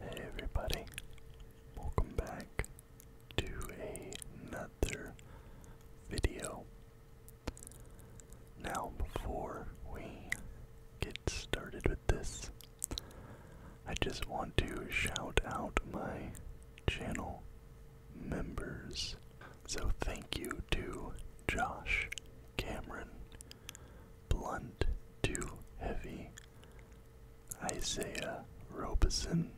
Hey everybody, welcome back to another video. Now, before we get started with this, I just want to shout out my channel members. So, thank you to Josh, Cameron, Blunt, too heavy. Isaiah Robeson,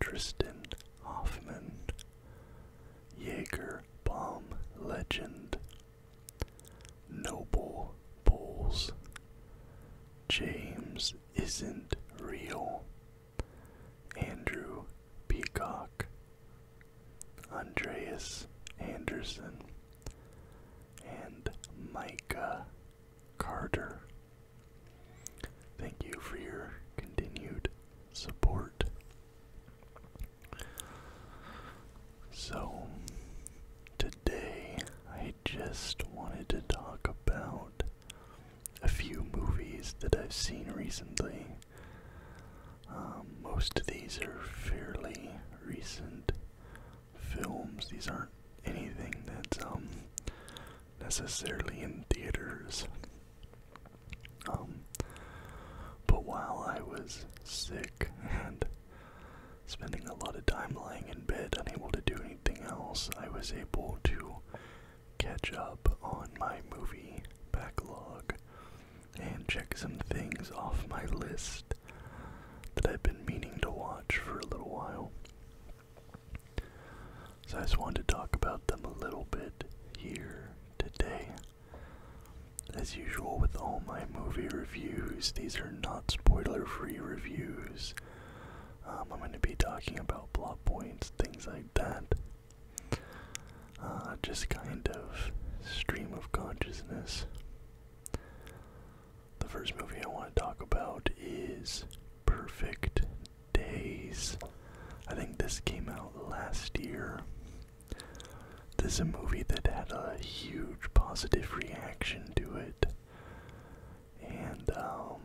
Tristan Hoffman, Jaeger Bomb Legend, Noble Bulls. James Isn't Real, Andrew Peacock, Andreas Anderson, and Micah Carter. Thank you for your continued support. So, today I just wanted to talk about a few movies that I've seen recently um, most of these are fairly recent films. These aren't anything that's um, necessarily in theaters. Um, but while I was sick and spending a lot of time lying in bed, unable to do anything else, I was able to catch up on my movie backlog and check some things off my list that I've been meaning to watch for a little while. So I just wanted to talk about them a little bit here today. As usual with all my movie reviews, these are not spoiler free reviews. Um, I'm going to be talking about plot points, things like that. Uh, just kind of stream of consciousness. The first movie I want to talk about is Perfect Days. I think this came out last year. This is a movie that had a huge positive reaction to it. And um,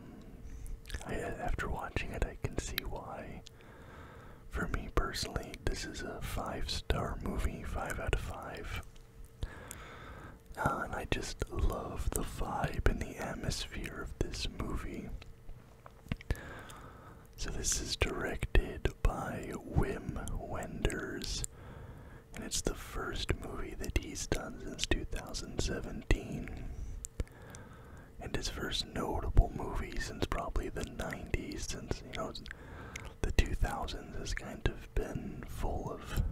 after watching it, I can see why. For me personally, this is a five star movie, five out of five. Uh, and I just love the vibe and the atmosphere of this movie. So, this is directed by Wim Wenders, and it's the first movie that he's done since 2017. And his first notable movie since probably the 90s, since, you know, the 2000s has kind of been full of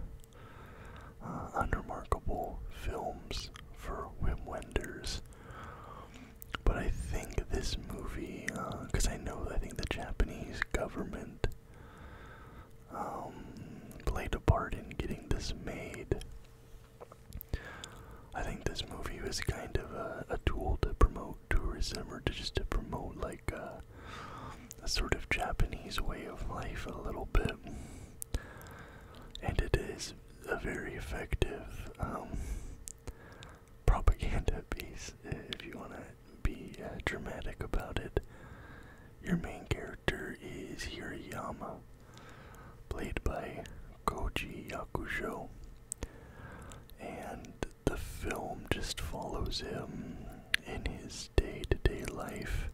uh, unremarkable films for Wim Wenders. But I think this movie, because uh, I know I think the Japanese government um, played a part in getting this made. I think this movie was kind of a, tool to promote tourism or to just to promote like uh, a, sort of Japanese way of life a little bit. And it is a very effective um, propaganda piece if you want to be uh, dramatic about it. Your main character is Hirayama, played by Koji Yakusho. And the film just follows him in his day to day life,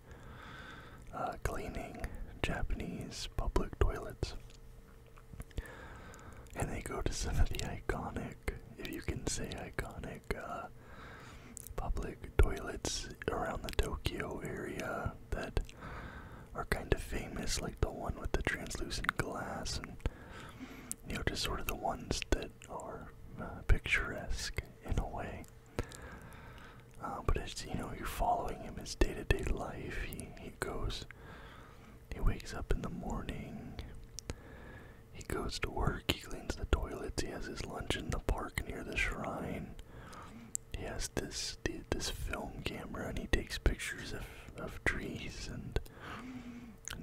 uh, cleaning Japanese public toilets. And they go to some of the iconic, if you can say iconic, uh, public toilets around the Tokyo area that are kind of famous, like the one with the translucent glass, and you know, just sort of the ones that are uh, picturesque in a way. Uh, but it's you know, you're following him his day to day life. He he goes, he wakes up in the morning. He goes to work. He cleans the toilets. He has his lunch in the park near the shrine. He has this this film camera, and he takes pictures of of, trees and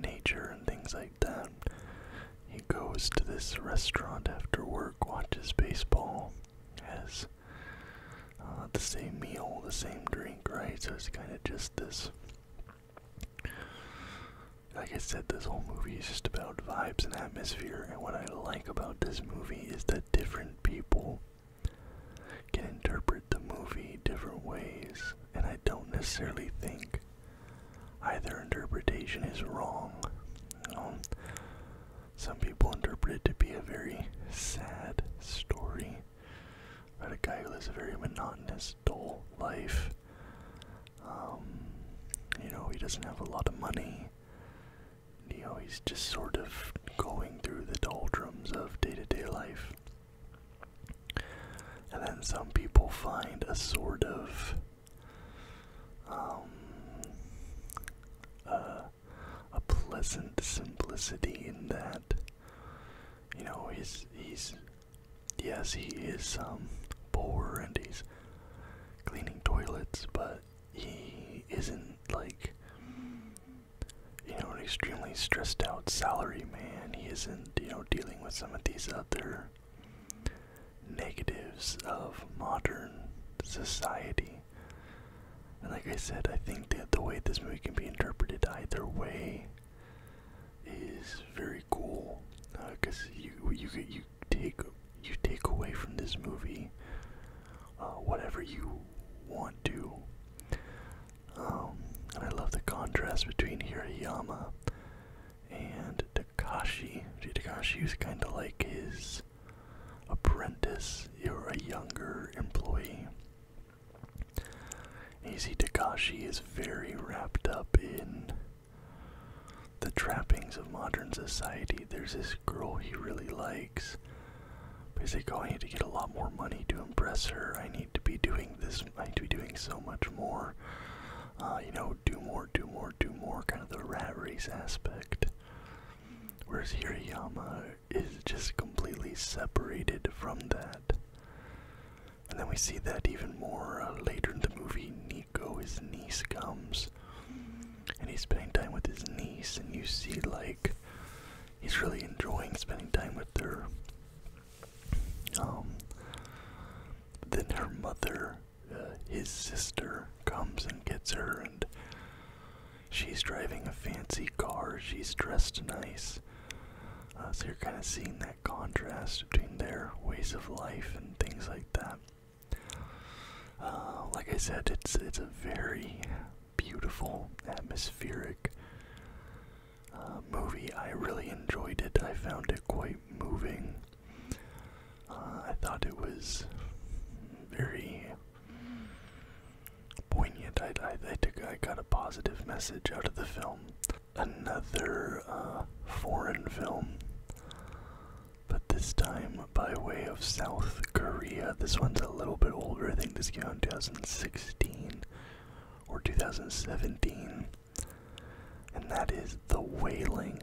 nature and things like that. He goes to this restaurant after work, watches baseball, has uh, the same meal, the same drink, right? So it's kind of just this. Like I said, this whole movie is just about vibes and atmosphere, and what I like about this movie is that different people can interpret the movie different ways, and I don't necessarily think either interpretation is wrong. You um, know? Some people interpret it to be a very sad story about a guy who lives a very monotonous, dull life. Um, you know, he doesn't have a lot of money. You know, he's just sort of going through the doldrums of day to day life. And then some people find a sort of um, a pleasant simplicity in that. You know, he's he's yes, he is um poor and he's cleaning toilets, but he isn't like you know, an extremely stressed out salary man. He isn't, you know, dealing with some of these other negatives of modern society. And like I said, I think that the way this movie can be interpreted either way is very cool. Because uh, you you you take you take away from this movie uh, whatever you want to. Um, and I love the contrast between Hirayama and Takashi. Takashi was kind of like his apprentice, you're a younger employee. And you see, Takashi is very wrapped up in the trappings of modern society. There's this girl he really likes, Basically, I need to get a lot more money to impress her. I need to be doing this. I need to be doing so much more. Uh, you know, do more, do more, do more. Kind of the rat race aspect. Whereas Hirayama is just completely separated from that. And then we see that even more uh, later in the movie. Nico, his niece, comes. And he's spending time with his niece, and you see, like, he's really enjoying spending time with her. Um, then her mother, uh, his sister, comes and gets her, and she's driving a fancy car. She's dressed nice. Uh, so you're kind of seeing that contrast between their ways of life and things like that. Uh, like I said, it's it's a very beautiful, atmospheric uh, movie. I really enjoyed it. I found it quite moving. Uh, I thought it was very poignant. I, I, I, took, I got a positive message out of the film. Another uh, foreign film, but this time by way of South Korea. This one's a little bit older. I think this came out in 2016 or 2017. And that is The Whaling.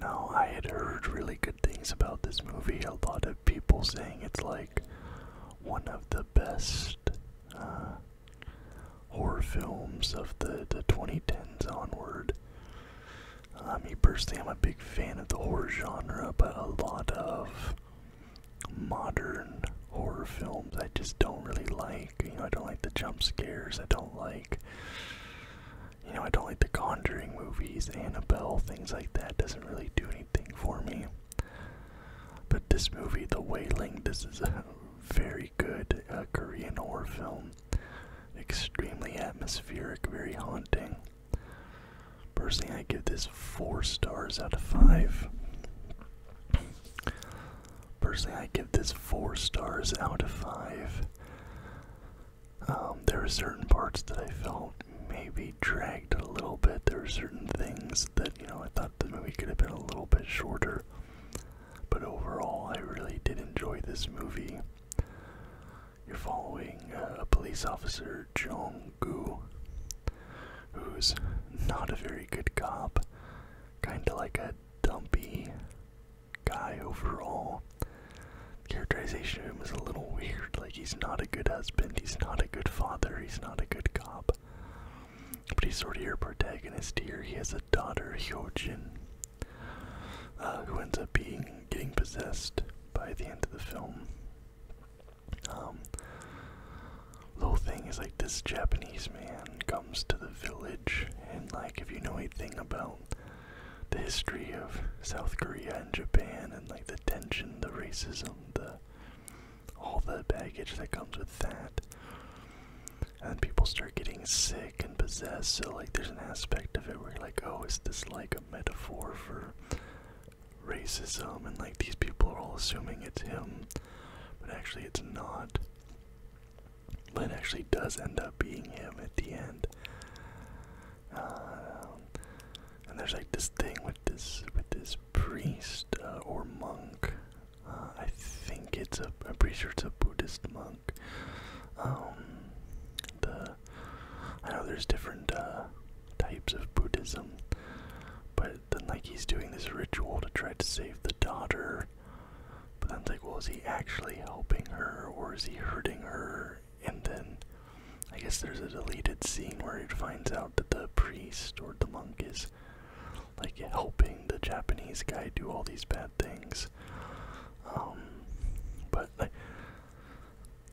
Now, I had heard really good things about this movie. A lot of people saying it's like one of the best uh, horror films of the, the 2010s onward. Uh, me personally, I'm a big fan of the horror genre, but a lot of modern horror films I just don't really like. You know, I don't like the jump scares. I don't like, you know, I don't like the Conjuring movies, Annabelle, things like that. Doesn't really do anything for me. But this movie, The Wailing, this is a very good uh, Korean horror film. Extremely atmospheric, very haunting. Personally, I give this four stars out of five. Personally, I give this four stars out of five. Um, there are certain parts that I felt maybe dragged a little bit. There are certain things that, you know, I thought the movie could have been a little bit shorter. But overall, I really did enjoy this movie. You're following a uh, police officer, Jong Gu, who's not a very good cop, kind of like a dumpy guy overall. Characterization of him is a little weird. Like, he's not a good husband, he's not a good father, he's not a good cop. But he's sort of your protagonist here. He has a daughter, Hyojin, uh, who ends up being getting possessed by the end of the film. Um, little thing is like this Japanese man comes to the village, and like if you know anything about the history of South Korea and Japan, and like the tension, the racism, the all the baggage that comes with that. And people start getting sick and possessed, so like there's an aspect of it where you're like, oh, is this like metaphor for racism and like these people are all assuming it's him but actually it's not but actually does end up being him at the end um, and there's like this thing with this with this priest uh, or monk uh, i think it's a i'm pretty sure it's a buddhist monk um the I know there's different uh, types of Buddhism, but then like he's doing this ritual to try to save the daughter. But I'm like, well, is he actually helping her or is he hurting her? And then I guess there's a deleted scene where it finds out that the priest or the monk is like helping the Japanese guy do all these bad things. Um, but like,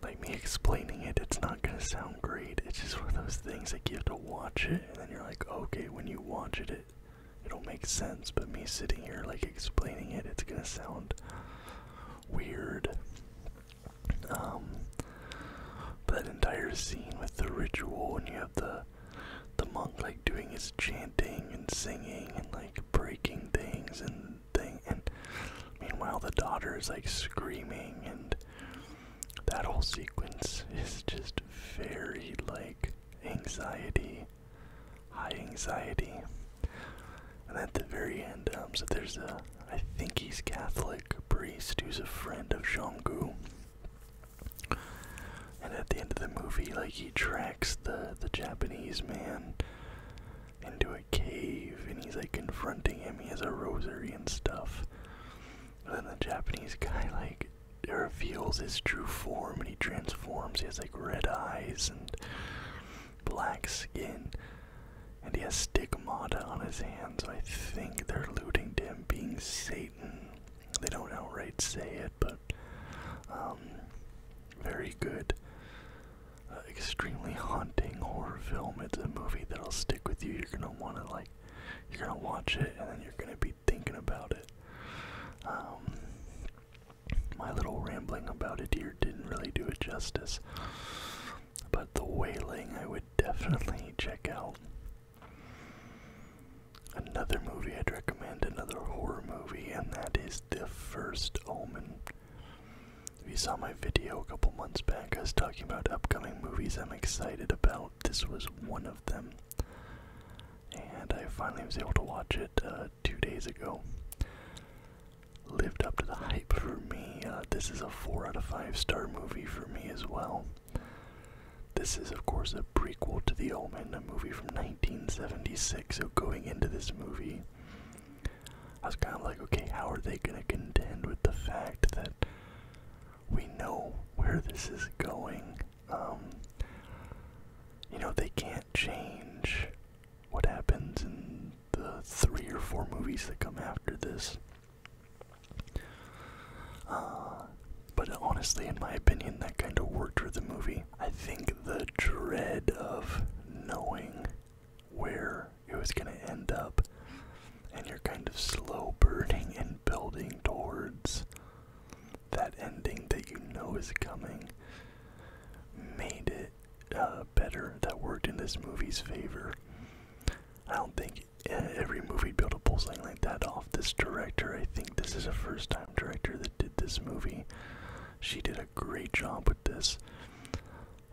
like me explaining it, it's not gonna sound great. It's just one of those things like you have to watch it, and then you're like, okay, when you watch it, it it'll make sense. But me sitting here like explaining it, it's gonna sound weird. Um, that entire scene with the ritual, and you have the the monk like doing his chanting and singing and like breaking things and thing. And meanwhile, the daughter is like screaming, and that whole sequence is just very like anxiety, high anxiety. And at the very end, um, so there's a, I think he's Catholic priest who's a friend of Zhonggu. And at the end of the movie, like he tracks the the Japanese man into a cave and he's like confronting him. He has a rosary and stuff. And then the Japanese guy like reveals his true form and he transforms. He has like red eyes and black skin. And he has stigmata on his hands. I think they're looting him being Satan. They don't outright say it but um, very good, uh, extremely haunting horror film. It's a movie that'll stick with you. You're gonna want to like, you're gonna watch it, and then you're gonna be thinking about it. Um, my little rambling about it here didn't really do it justice, but the wailing I would definitely check out. Another movie I'd recommend, another horror movie, and that is The first Omen. If you saw my video a couple months back, I was talking about upcoming movies I'm excited about. This was one of them. And I finally was able to watch it uh, two days ago. Lived up to the hype for me. Uh, this is a 4 out of 5 star movie for me as well. This is, of course, a prequel to The Omen, a movie from 1976, so going into this movie, I was kind of like, okay, how are they going to contend with the fact that we know where this is going? Um, you know, they can't change what happens in the three or four movies that come after this. Uh, but honestly, in my opinion, that kind of worked for the movie. I think the dread of knowing where it was going to end up, and you're kind of slow burning and building towards that ending that you know is coming, made it uh, better. That worked in this movie's favor. I don't think eh, every movie built a pull something like that off this director. I think this is a first time director that did this movie. She did a great job with this.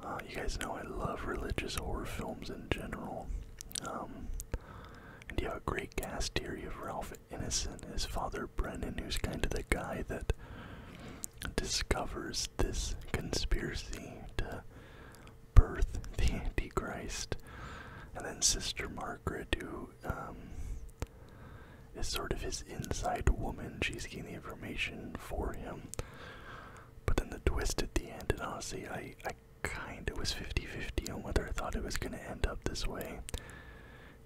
Uh, you guys know I love religious horror films in general. Um, and you have a great cast theory of Ralph Ineson as father Brendan, who's kind of the guy that discovers this conspiracy to birth the Antichrist. And then Sister Margaret, who um, is sort of his inside woman. She's getting the information for him. But then the twist at the end, and honestly, I, I kind of was 50 50 on whether I thought it was going to end up this way.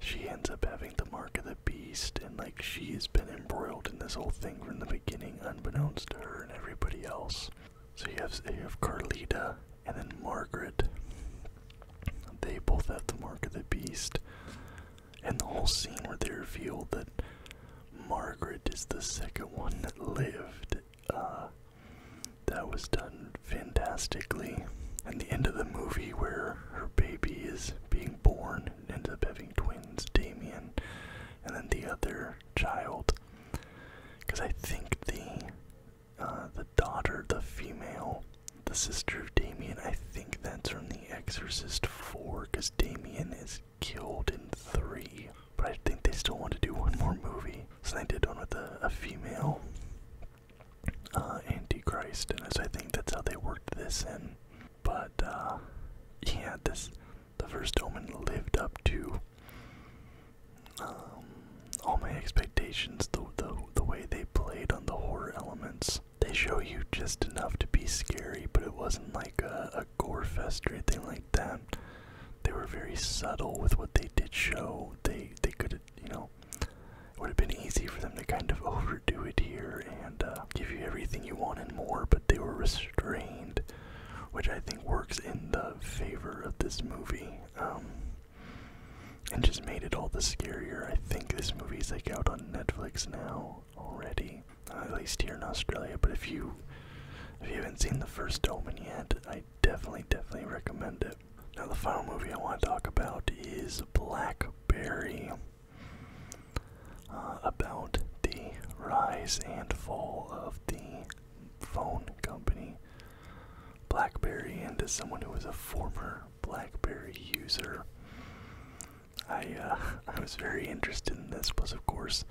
She ends up having the mark of the beast, and like she has been embroiled in this whole thing from the beginning, unbeknownst to her and everybody else. So you have, you have Carlita and then Margaret. They both have the mark of the beast. And the whole scene where they reveal that Margaret is the second one that lived, uh, that was done fantastically. And the end of the movie where her baby is being born ends up having twins, Damien, and then the other child. Because I think the uh, the daughter, the female, the sister of Damien. I think that's from The Exorcist 4 because Damien is killed in 3. But I think they still want to do one more movie. So they did one with a, female uh, Antichrist, and I think that's how they worked this in. But uh, yeah, this the first Omen lived up to um, all my expectations, the, the, way they played on the horror elements, they show you just enough to be scary, but it wasn't like a, gore fest or anything like that. They were very subtle with what they did show. They they could, you know, it would have been easy for them to kind of overdo it here and uh, give you everything you want and more, but they were restrained, which I think works in the favor of this movie. Um, and just made it all the scarier. I think this movie's like out on Netflix now already, uh, at least here in Australia. But if you if you haven't seen the first Omen yet, I definitely definitely recommend it. Now the final movie I want to talk about is Blackberry, uh, about the rise and fall of the phone company BlackBerry and as someone who was a former BlackBerry user, I uh, I was very interested in this. Plus, of course,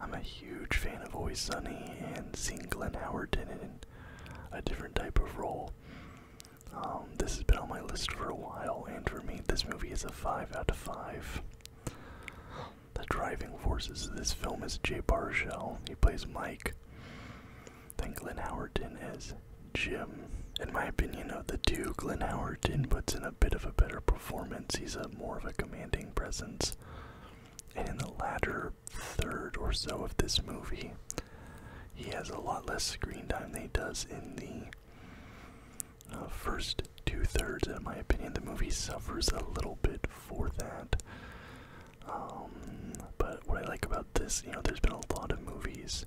I'm a huge fan of Always Sunny and seeing Glenn Howard in a different type of role. Um, this has been on my list for a while, and for me, this movie is a five out of five. The driving forces of this film is J Barshell. He plays Mike. Then Glenn Howerton as Jim. In my opinion, of the two, Glenn Howerton puts in a bit of a better performance. He's a more of a commanding presence. And in the latter third or so of this movie, he has a lot less screen time than he does in the uh, first two thirds. In my opinion, the movie suffers a little bit for that. Um, but what I like about this, you know, there's been a lot of movies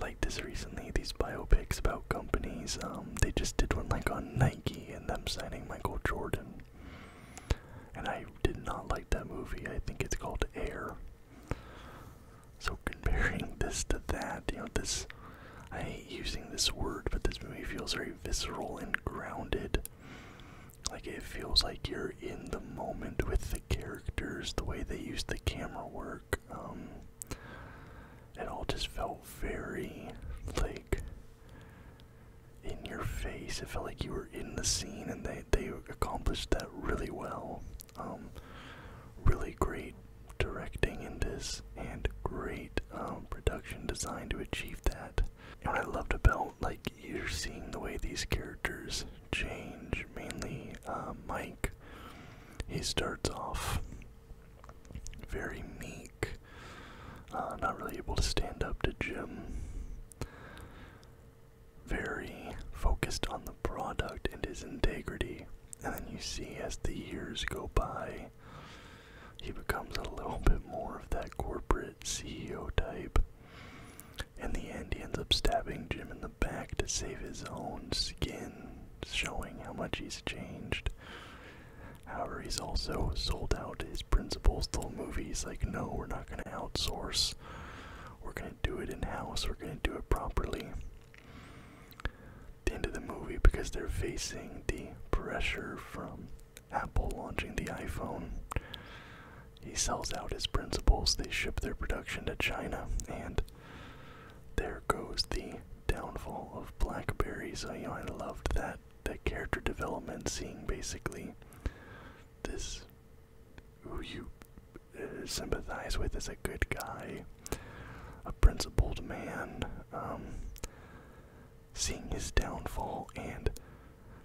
like this recently, these biopics about companies. Um, they just did one like on Nike and them signing Michael Jordan. And I did not like that movie. I think it's called Air. So comparing this to that, you know, this I hate using this word, but this movie feels very visceral and grounded. Like it feels like you're in the moment with the characters, the way they use the camera work. Um, it all just felt very like in your face. It felt like you were in the scene, and they they accomplished that really well. Um, really great directing in this, and great um, production design to achieve that. And what I loved about, like, you're seeing the way these characters change, mainly uh, Mike. He starts off very meek, uh, not really able to stand up to Jim, very focused on the product and his integrity. And then you see as the years go by, he becomes a little bit more of that corporate CEO type. And the end, he ends up stabbing Jim in the back to save his own skin, showing how much he's changed. However, he's also sold out his principles the movie. He's like, no, we're not going to outsource. We're going to do it in house. We're going to do it properly. the end of the movie, because they're facing the pressure from Apple launching the iPhone. He sells out his principles, they ship their production to China, and there goes the downfall of BlackBerry. So, you know, I loved that, that character development, seeing basically this who you uh, sympathize with as a good guy, a principled man. Um, seeing his downfall, and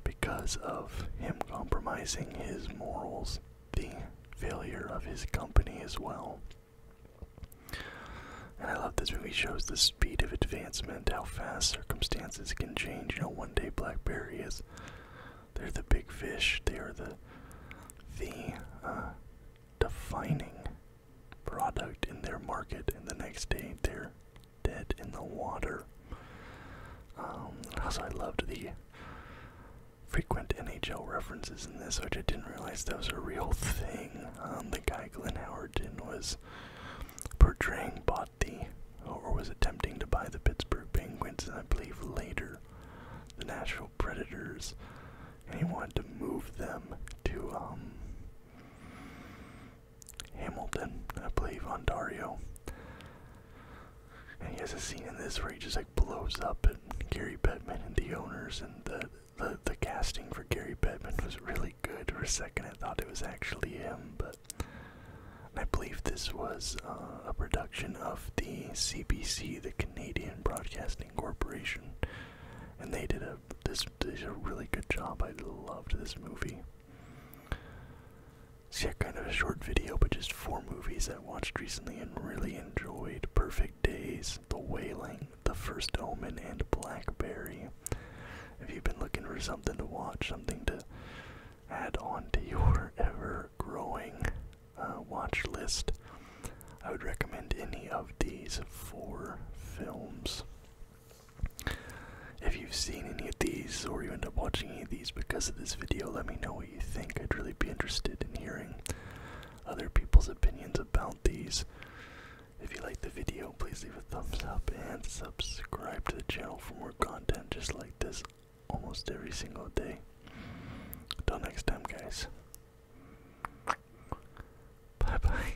because of him compromising his morals, the failure of his company as well. And I love this movie shows the speed of advancement, how fast circumstances can change. You know, one day BlackBerry is they're the big fish, they are the the uh, defining product in their market, and the next day they're dead in the water. Um, also, I loved the frequent NHL references in this, which I didn't realize that was a real thing. Um, the guy Glenn Howerton was portraying bought the, or was attempting to buy the Pittsburgh Penguins, and I believe later the Nashville Predators, and he wanted to move them to um, Hamilton, I believe, Ontario. And he has a scene in this where he just like blows up at Gary Bettman and the owners and the the, the casting for Gary Bettman was really good. For a second I thought it was actually him, but I believe this was uh, a production of the CBC, the Canadian Broadcasting Corporation, and they did a this did a really good job. I loved this movie. So yeah, kind of a short video, but just four movies I watched recently and really enjoyed. Perfect Days, The Wailing, The First Omen, and Blackberry. If you've been looking for something to watch, something to add on to your ever-growing uh, watch list, I would recommend any of these four films. If you've seen any of these or you end up watching any of these because of this video, let me know what you think. I'd really be interested in hearing other people's opinions about these. If you like the video, please leave a thumbs up and subscribe to the channel for more content just like this almost every single day. Until next time, guys. Bye bye.